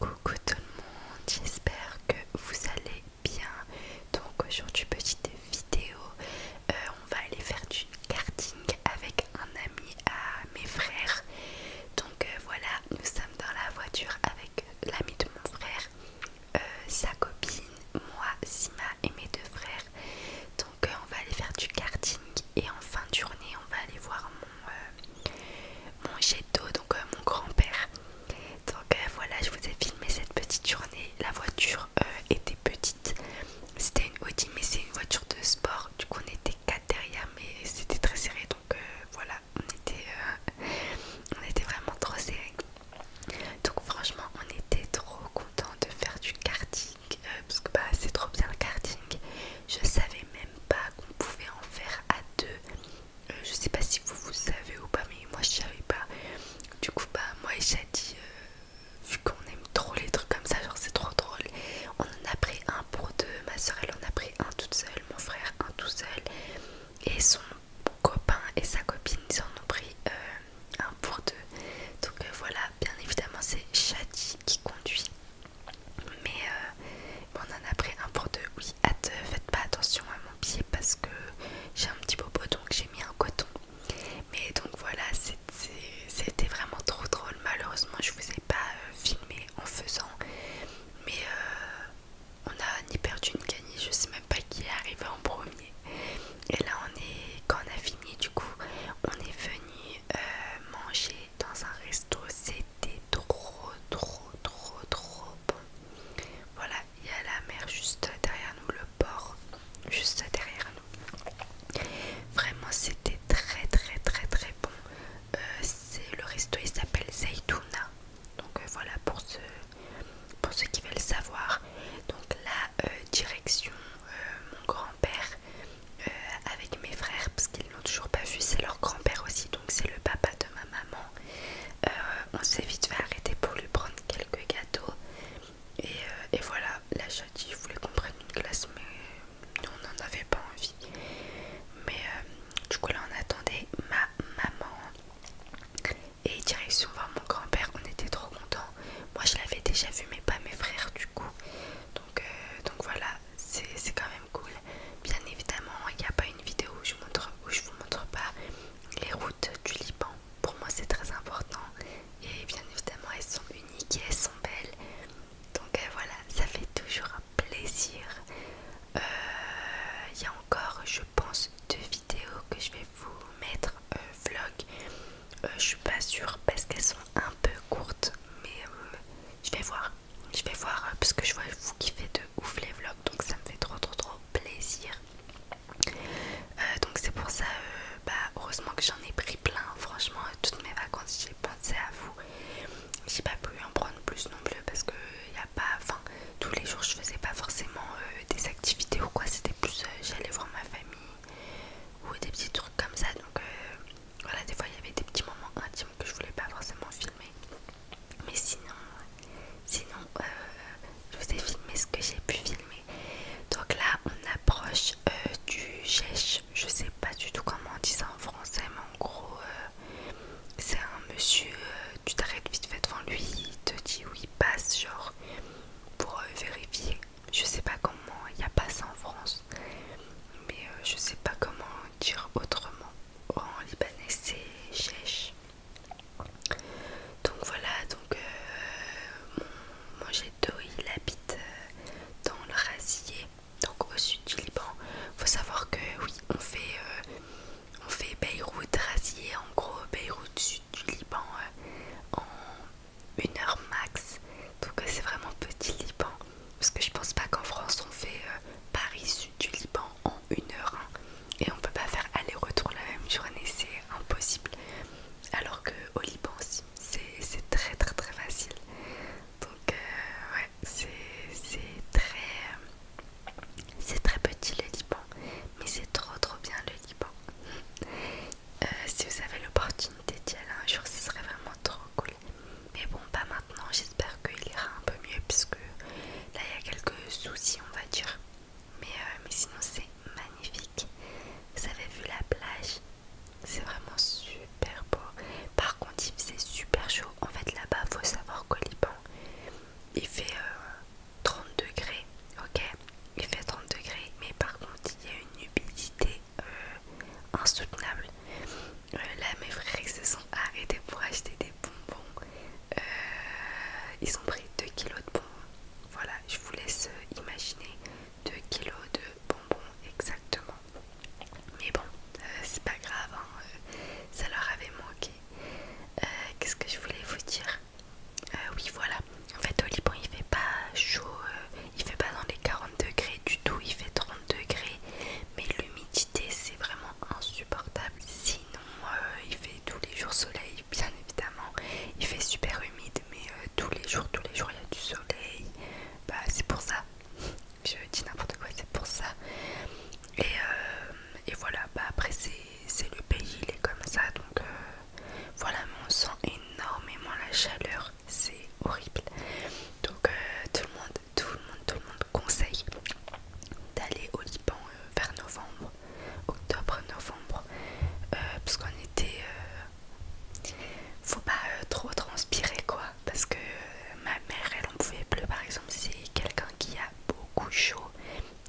Coucou tout le monde, j'espère que vous allez bien. Donc aujourd'hui petite vidéo, euh, on va aller faire du karting avec un ami à mes frères. Donc euh, voilà, nous sommes dans la voiture avec l'ami de mon frère, euh, sa copine, moi, Sima et mes deux frères. Donc on va aller faire du karting et en fin de journée on va aller voir euh, mon jet d'eau, donc euh, mon grand-père. Donc euh, voilà, je vous ai filmé cette petite journée. La voiture était petite, c'était une Audi, mais c'est une voiture de sport. Du coup, on était quatre derrière, mais c'était très serré. Donc voilà, on était, on était vraiment trop serré. Donc franchement, on était trop content de faire du karting parce que bah, c'est trop bien le karting. Je savais même pas qu'on pouvait en faire à deux. Euh, je sais pas si vous vous savez ou pas mais moi je savais pas du coup bah moi et Shadi euh, vu qu'on aime trop les trucs comme ça genre c'est trop drôle on en a pris un pour deux ma soeur elle en a pris un toute seule mon frère un tout seul et son copain et sa copine ils en ont pris euh, un pour deux donc voilà bien évidemment c'est Shadi qui conduit mais euh, on en a pris un pour deux. Oui, hâte, euh, faites pas attention à mon pied parce que j'ai un petit bobo donc j'ai mis un coton. Mais donc voilà, c'était vraiment trop drôle. Malheureusement, je vous ai pas euh, filmé en faisant, mais on a ni perdu ni gagné. Je sais même pas qui est arrivé en premier. Et là, on est quand on a fini, du coup, on est venu manger dans un resto trop trop trop trop bon voilà il y a la mer juste derrière nous le port juste derrière nous vraiment c'était très très très très bon euh, c'est le resto il s'appelle Zaytouna donc euh, voilà pour ceux pour ceux qui veulent savoir donc la euh, direction mon grand-père avec mes frères parce qu'ils n'ont toujours pas vu c'est leur grand-père aussi c'est le papa de ma maman. Euh, on s'est vite fait arrêter pour lui prendre quelques gâteaux. Et, euh, et voilà, la chatte, voulait qu'on prenne une glace, mais on n'en avait pas envie. Mais euh, du coup, là on attendait ma maman. Et direction voir mon grand-père, on était trop content Moi je l'avais déjà vu, mais pas mes frères du coup. donc voilà, c'est quand même cool. Bien évidemment, il n'y a pas une vidéo où je ne vous montre pas les routes du Liban. Pour moi, c'est très important. Et bien évidemment, elles sont uniques et elles sont belles. Donc euh, voilà, ça fait toujours un plaisir. Euh, il y a encore, je pense, deux vidéos que je vais vous mettre euh, vlog. je suis pas sûre parce qu'elles sont un peu courtes, mais je vais voir je vais voir euh, parce que je vois vous kiffez de ouf les vlogs donc ça me fait trop trop trop plaisir euh, donc c'est pour ça euh, bah, heureusement que j'en ai pris plein franchement toutes mes vacances j'ai pensé à vous j'ai pas pu en prendre plus non plus parce que y a pas enfin tous les jours je faisais pas forcément des activités ou quoi c'était plus j'allais voir ma famille ou des petits trucs comme ça donc voilà des fois il y avait des petits moments intimes que je voulais pas forcément filmer. Mais sinon, sinon euh, je vous ai filmé ce que j'ai pu filmer. Donc là, on approche euh, du Gèche. Je sais pas du tout comment on dit ça en français, mais en gros, euh, c'est un monsieur. tu t'arrêtes vite fait devant lui, il te dit où il passe, genre pour vérifier. Je sais pas comment, il n'y a pas ça en France, mais je sais pas comment dire autrement. Oh, en libanais, c'est chèche. Donc voilà, donc euh, mon, il habite euh, dans le Rasier donc au sud du Liban. Faut savoir que oui, on fait, euh, on fait Beyrouth Rasier en gros Beyrouth sud du Liban en une heure max. Donc c'est vraiment petit Liban. Parce que je pense pas qu'en France on fait euh, Paris sud du Liban en une heure hein. et on peut pas faire aller-retour la même journée, c'est impossible. Alors que au Liban, aussi, c'est très très très facile. Donc euh, ouais, c'est très c'est très petit le Liban, mais c'est trop trop bien le Liban. Euh, si vous avez l'opportunité d'y aller un jour, ce serait vraiment trop cool. Mais bon, pas mal maintenant j'espère qu'il ira un peu mieux puisque là il y a quelques soucis on va dire euh, mais, sinon c'est magnifique vous avez vu la plage c'est vraiment super beau par contre il faisait super chaud en fait là bas faut savoir qu'au Liban il fait 30 euh, degrés ok il fait 30 degrés mais par contre il y a une humidité euh, insoutenable euh, là mes frères se sont arrêtés pour acheter des bonbons euh, ils ont pris 2 kilos de bonbons voilà je vous laisse euh, imaginer 2 kg de bonbons exactement mais bon c'est pas grave hein, ça leur avait manqué qu'est ce que je voulais vous dire oui voilà en fait au Liban il fait pas chaud il fait pas dans les 40 degrés du tout il fait 30 degrés mais c'est vraiment insupportable. Sinon euh, il fait tous les jours soleil bien évidemment. Il fait super humide mais euh, tous les jours, tous les jours il y a du soleil. Bah c'est pour ça. Je dis n'importe quoi, c'est pour ça. Et, euh, voilà, bah après c'est le pays, il est comme ça. Donc voilà, mais on sent énormément la chaleur. C'est horrible. Donc tout le monde tout le monde, tout le monde conseille d'aller au Liban euh, vers novembre, octobre, novembre, euh, parce qu'on était... Euh, faut pas trop transpirer quoi, parce que ma mère elle en pouvait plus par exemple, c'est quelqu'un qui a beaucoup chaud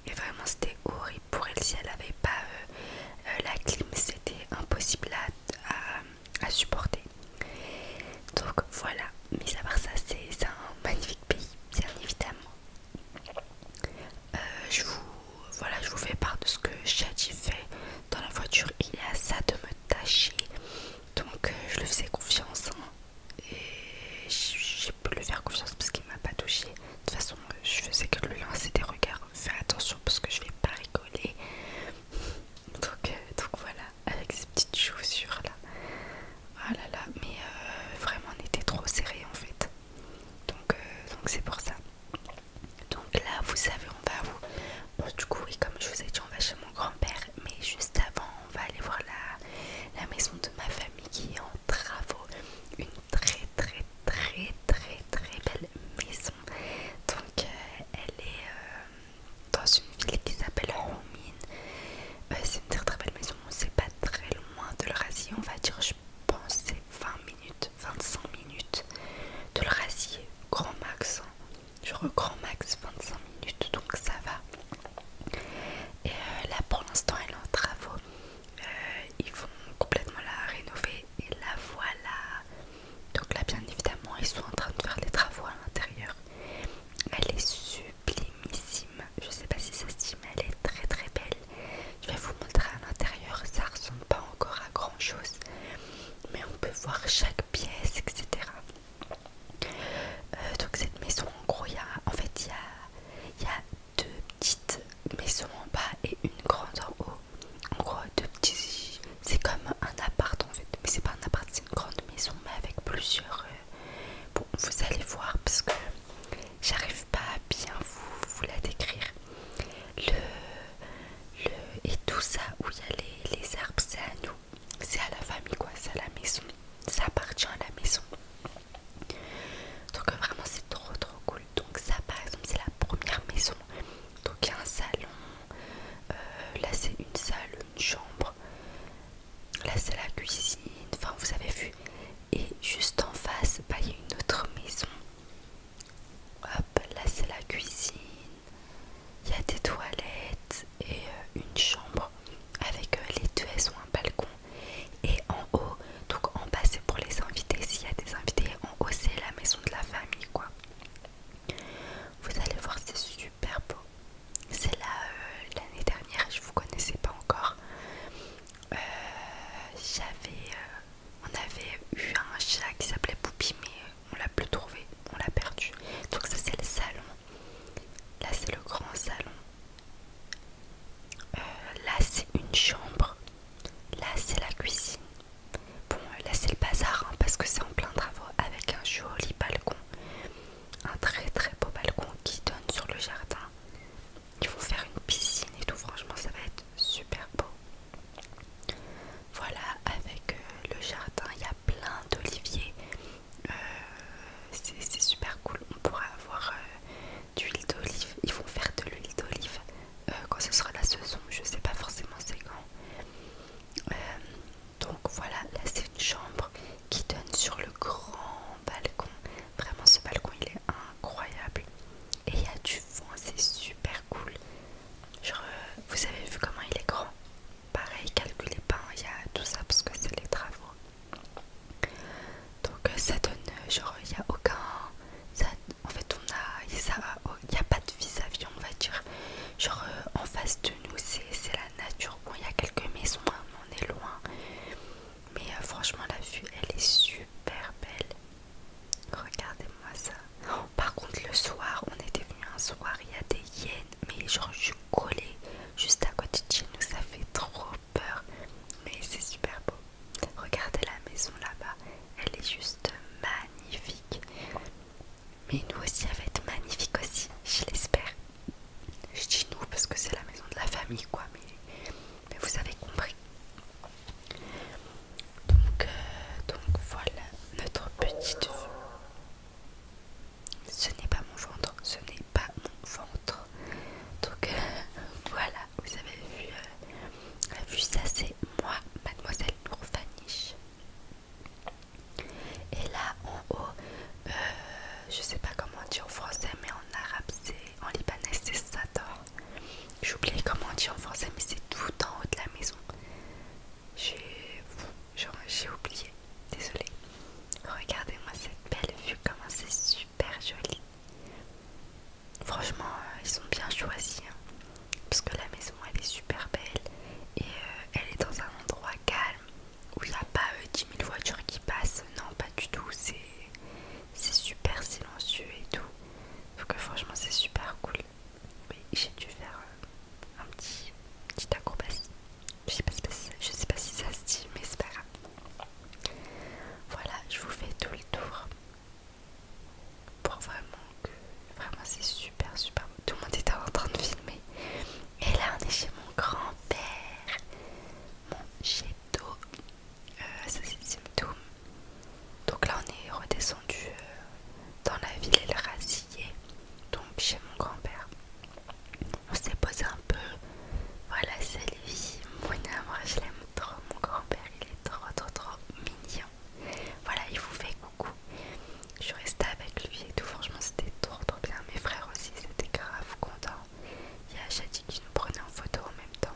et vraiment c'était horrible pour elle si elle avait pas la clim, c'était impossible à, à supporter. Donc voilà, mis à part ça, c'est un magnifique pays, bien évidemment. Euh, je vous voilà, je vous fais part de ce que Shadi fait dans la voiture. Il a ça de me tâcher, donc euh, je le faisais confiance hein. et j'ai pu le faire confiance parce qu'il m'a pas touché. De toute façon, euh, je faisais que lui lancer des regards. Fais attention parce que je vais pas rigoler. Donc, donc voilà avec ses petites chaussures là. Ah là là, mais euh, vraiment on était trop serré en fait. Euh, donc c'est pour ça. Donc là vous savez on va vous... du coup oui comme je vous ai dit on va chez mon grand-père mais juste avant on va aller voir la, la maison de ma famille qui est en travaux. Une très très très très très belle maison. Donc euh, elle est dans une ville qui s'appelle Romine, euh, c'est une très très belle maison, c'est pas très loin de l'Eurasie, on va dire je pense c'est 20 minutes, 25 minutes de rasier grand max, hein. genre grand max 25 minutes donc ça va. Et euh, là pour l'instant elle est en travaux, euh, ils vont complètement la rénover et la voilà donc là, bien évidemment, ils sont en train de faire les travaux à l'intérieur. Elle est sublimissime. Je sais pas si ça se mais elle est très très belle. Je vais vous montrer à l'intérieur. Ça ressemble pas encore à grand chose, mais on peut voir chaque pièce, etc. Euh, donc cette maison, en gros, il y a, en fait, il y a deux petites maisons en bas et une grande en haut. En gros, deux petits c'est comme un appart en fait mais c'est pas un appart c'est une grande maison mais avec plusieurs euh, bon vous allez voir parce que j'arrive pas à bien vous, la décrire le, le et tout ça où il y a les, les arbres c'est à nous c'est à la famille quoi c'est à la maison ça appartient à la maison donc vraiment c'est trop trop cool donc ça par exemple c'est la première maison donc il y a un salon, euh, là c'est une salle, une chambre, là c'est la cuisine, enfin vous avez vu. Et juste en face, bah, il y a une autre maison. Hop, là c'est la cuisine, il y a des toilettes et euh, une chambre avec euh, les deux, elles un balcon. Et en haut, donc en bas c'est pour les invités, s'il y a des invités, en haut c'est la maison de la famille quoi. Vous allez voir, c'est super beau. C'est là euh, l'année dernière, je ne vous connaissais pas encore. Euh, j'avais, euh, on avait eu un chat qui s'appelait Poupie, mais on l'a plus trouvé, on l'a perdu. Donc ça c'est le salon. Là c'est le grand salon. là c'est une chambre. Là c'est la cuisine. Bon, euh, là c'est le bazar hein, parce que c'est en plein travaux avec un joli balcon, un très très beau balcon qui donne sur le jardin. Ils vont faire une piscine et tout, franchement ça va être super beau. Voilà, avec euh, le jardin, il y a plein d'oliviers. Euh, c'est super cool, on pourra avoir de l'huile d'olive. Ils vont faire de l'huile d'olive quand ce sera la saison, je sais pas forcément c'est quand. Euh, donc voilà, là c'est une chambre qui donne sur le grand balcon. Vraiment ce balcon il est incroyable. Et il y a du vent, c'est super cool. Genre, euh, vous avez vu comment il est grand Pareil, calculez pas, hein, il y a tout ça parce que c'est les travaux. Donc euh, ça donne, genre il n'y a aucun... en fait on a... Il n'y oh, a, pas de vis à -vis, on va dire. Genre euh, en face de nous, c'est la nature. Bon, il y a quelques maisons, hein, on est loin. Mais euh, franchement, la vue, elle est super belle. Regardez-moi ça. Oh, par contre, le soir, on était venu un soir, il y a des hyènes. Mais genre, je suis collée juste à côté de chez nous, ça fait trop peur. Mais c'est super beau. Regardez la maison là-bas, elle est juste magnifique. Mais nous aussi, elle va être magnifique aussi, je l'espère. Je dis nous parce que c'est la maison de la famille, quoi, mais, vous avez compris. Donc, euh, donc voilà notre petite vue. Ce n'est pas mon ventre, ce n'est pas mon ventre. Donc euh, voilà, vous avez vu, euh, ça, c'est moi, mademoiselle l'ourfaniche et là en haut, je euh, je sais pas comment on dit en français, mais en arabe c'est en libanais c'est Sador. oublié comment on dit en français, mais c'est tout en haut de la maison. J'ai oublié, désolé. Regardez-moi cette belle vue, comment c'est super joli. Franchement, euh, ils sont bien choisis. Hein parce que la maison elle est super belle et euh, elle est dans un endroit calme où il n'y a pas 10 euh, 000 voitures qui passent, non pas du tout, c'est super silencieux et tout. Donc franchement c'est super cool. j'ai dû faire euh, un petit, petit Je sais, pas si, je sais pas si ça se dit mais c'est pas grave. Voilà, je vous fais tout le tour pour vraiment que vraiment c'est super super Tout le monde était en train de filmer. Et là on est chez mon grand-père, mon Gédo, euh, ça c'est symptôme Donc là on est redescendu euh, dans la ville et le rasillé. donc chez mon grand-père. On s'est posé un peu. Voilà, c'est lui, mon je l'aime trop. Mon grand-père, il est trop, trop, trop mignon. Voilà, il vous fait coucou. Je suis avec lui et tout, franchement c'était trop trop bien. Mes frères aussi, c'était grave content. Il y a Shadi qui nous prenait en photo en même temps.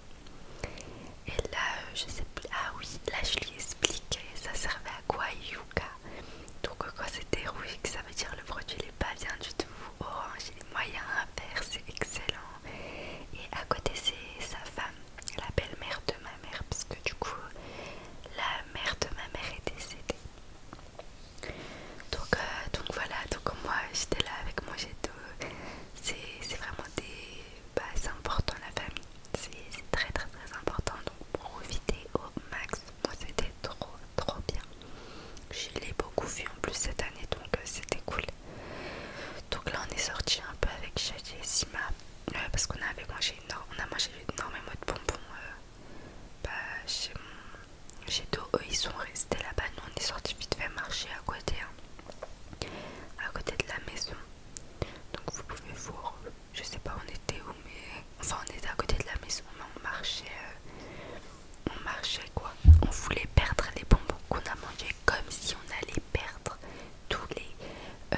Et là, euh, je sais plus. Ah oui, là je lui expliquais ça servait à quoi Yuka. Donc euh, quoi, c'était rouge, ça veut dire le produit n'est pas bien du tout. Orange, il est moyen, faire c'est excellent. Et à côté c'est sa femme la belle-mère de ma mère, puisque, du coup, la mère de ma mère est décédée. Donc, euh, voilà, donc moi j'étais là avec moi, j'étais... C'est vraiment des. Bah, c'est important la famille, c'est très très très important. Donc profiter au max. Moi c'était trop trop bien. Je l'ai beaucoup vu en plus cette année, donc euh, c'était cool. Donc là on est sorti un peu avec Shadi et Sima. Euh, parce qu'on avait mangé, on a mangé énormément de bonbons euh, bah, chez, eux ils sont restés là-bas, nous on est sorti vite fait marcher à côté, hein. à côté de la maison, donc vous pouvez voir, je sais pas on était où, mais enfin on était à côté de la maison, mais on marchait, euh, on marchait quoi, on voulait perdre les bonbons qu'on a mangé comme si on allait perdre tous les, euh,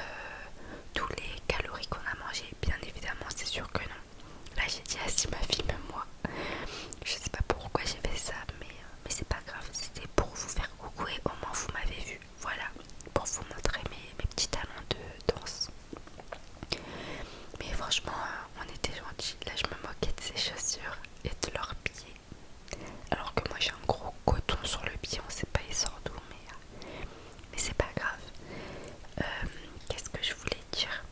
tous les calories qu'on a mangé Bien évidemment, c'est sûr que non. Là, j'ai dit à ah, si ma fille, moi. Je sais pas pourquoi j'ai fait ça, mais, euh, mais c'est pas grave. C'était pour vous faire coucou et au moins vous m'avez vu. Voilà, pour vous montrer mes, mes petits talents de danse. Mais franchement, euh, on était gentils. Là, je me moquais de ses chaussures et de leurs pieds. Alors que moi, j'ai un gros coton sur le pied. On sait pas, il sort d'où, mais mais c'est pas grave. Euh, qu'est-ce que je voulais dire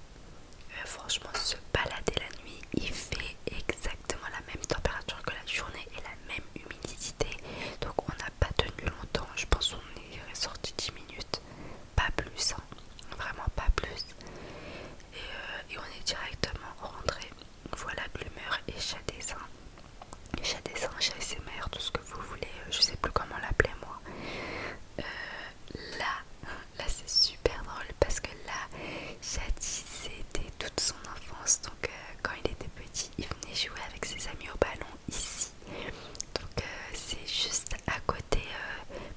euh, Franchement, se balader la nuit, il fait exactement la même température que la journée et la même humidité. Donc, on n'a pas tenu longtemps. Je pense qu'on est sorti 10 minutes, pas plus, hein. vraiment pas plus. Euh, et, on est directement rentré. Voilà l'humeur et chat dessin, chat SMR, tout ce que vous voulez, euh, je sais plus comment l'appeler moi. Euh, là, là c'est super drôle parce que là, Chati c'était toute son enfance. Donc euh, quand il était petit, il venait jouer avec ses amis au ballon ici. Donc c'est juste à côté,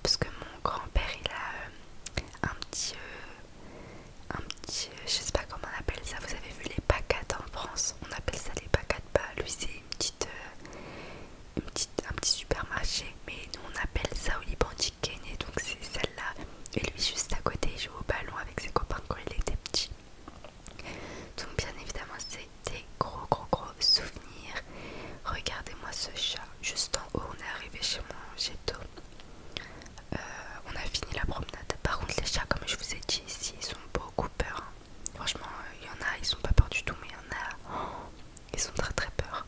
parce que mon grand-père il a un petit je sais pas comment on appelle ça, vous avez vu les pacates en France, on appelle ça les pacates, bas, lui c'est euh, une petite, un petit supermarché, mais nous on appelle ça au Liban donc c'est celle-là, et lui juste à côté il joue au ballon avec ses copains quand il était petit. Donc bien évidemment c'est des gros gros gros souvenirs. Regardez-moi ce chat, juste en haut on est arrivé chez moi tout euh, on a fini la promenade. Par contre, les chats, comme je vous ai dit ici, ils sont beaucoup peur. Hein. Franchement, euh, il y en a, ils sont pas peur du tout, mais il y en a, oh, ils sont très très peur.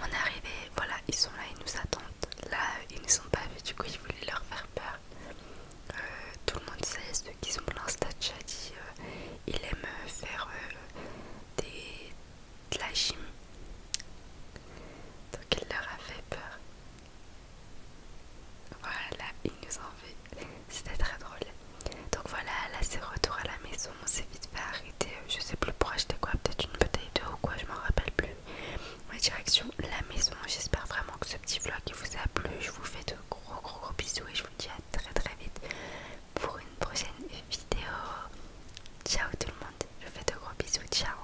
On est arrivé, voilà, ils sont là, ils nous attendent. Là, ils ne sont pas vus, du coup, ils voulaient leur faire peur. Euh, tout le monde sait, ceux qui sont pour statia dit, il aime faire des, de la gym. Donc il leur a fait peur. Voilà, il nous en veut. C'était très drôle. Donc voilà, là c'est retour à la maison. On s'est vite fait arrêter. Euh, je sais plus pour acheter quoi, peut-être une bouteille d'eau ou quoi, je m'en rappelle plus. Ma direction la maison. J'espère vraiment que ce petit vlog vous a plu. Je vous fais de gros gros gros bisous et je vous dis à très très vite pour une prochaine vidéo. Ciao tout le monde. Je vous fais de gros bisous. Ciao.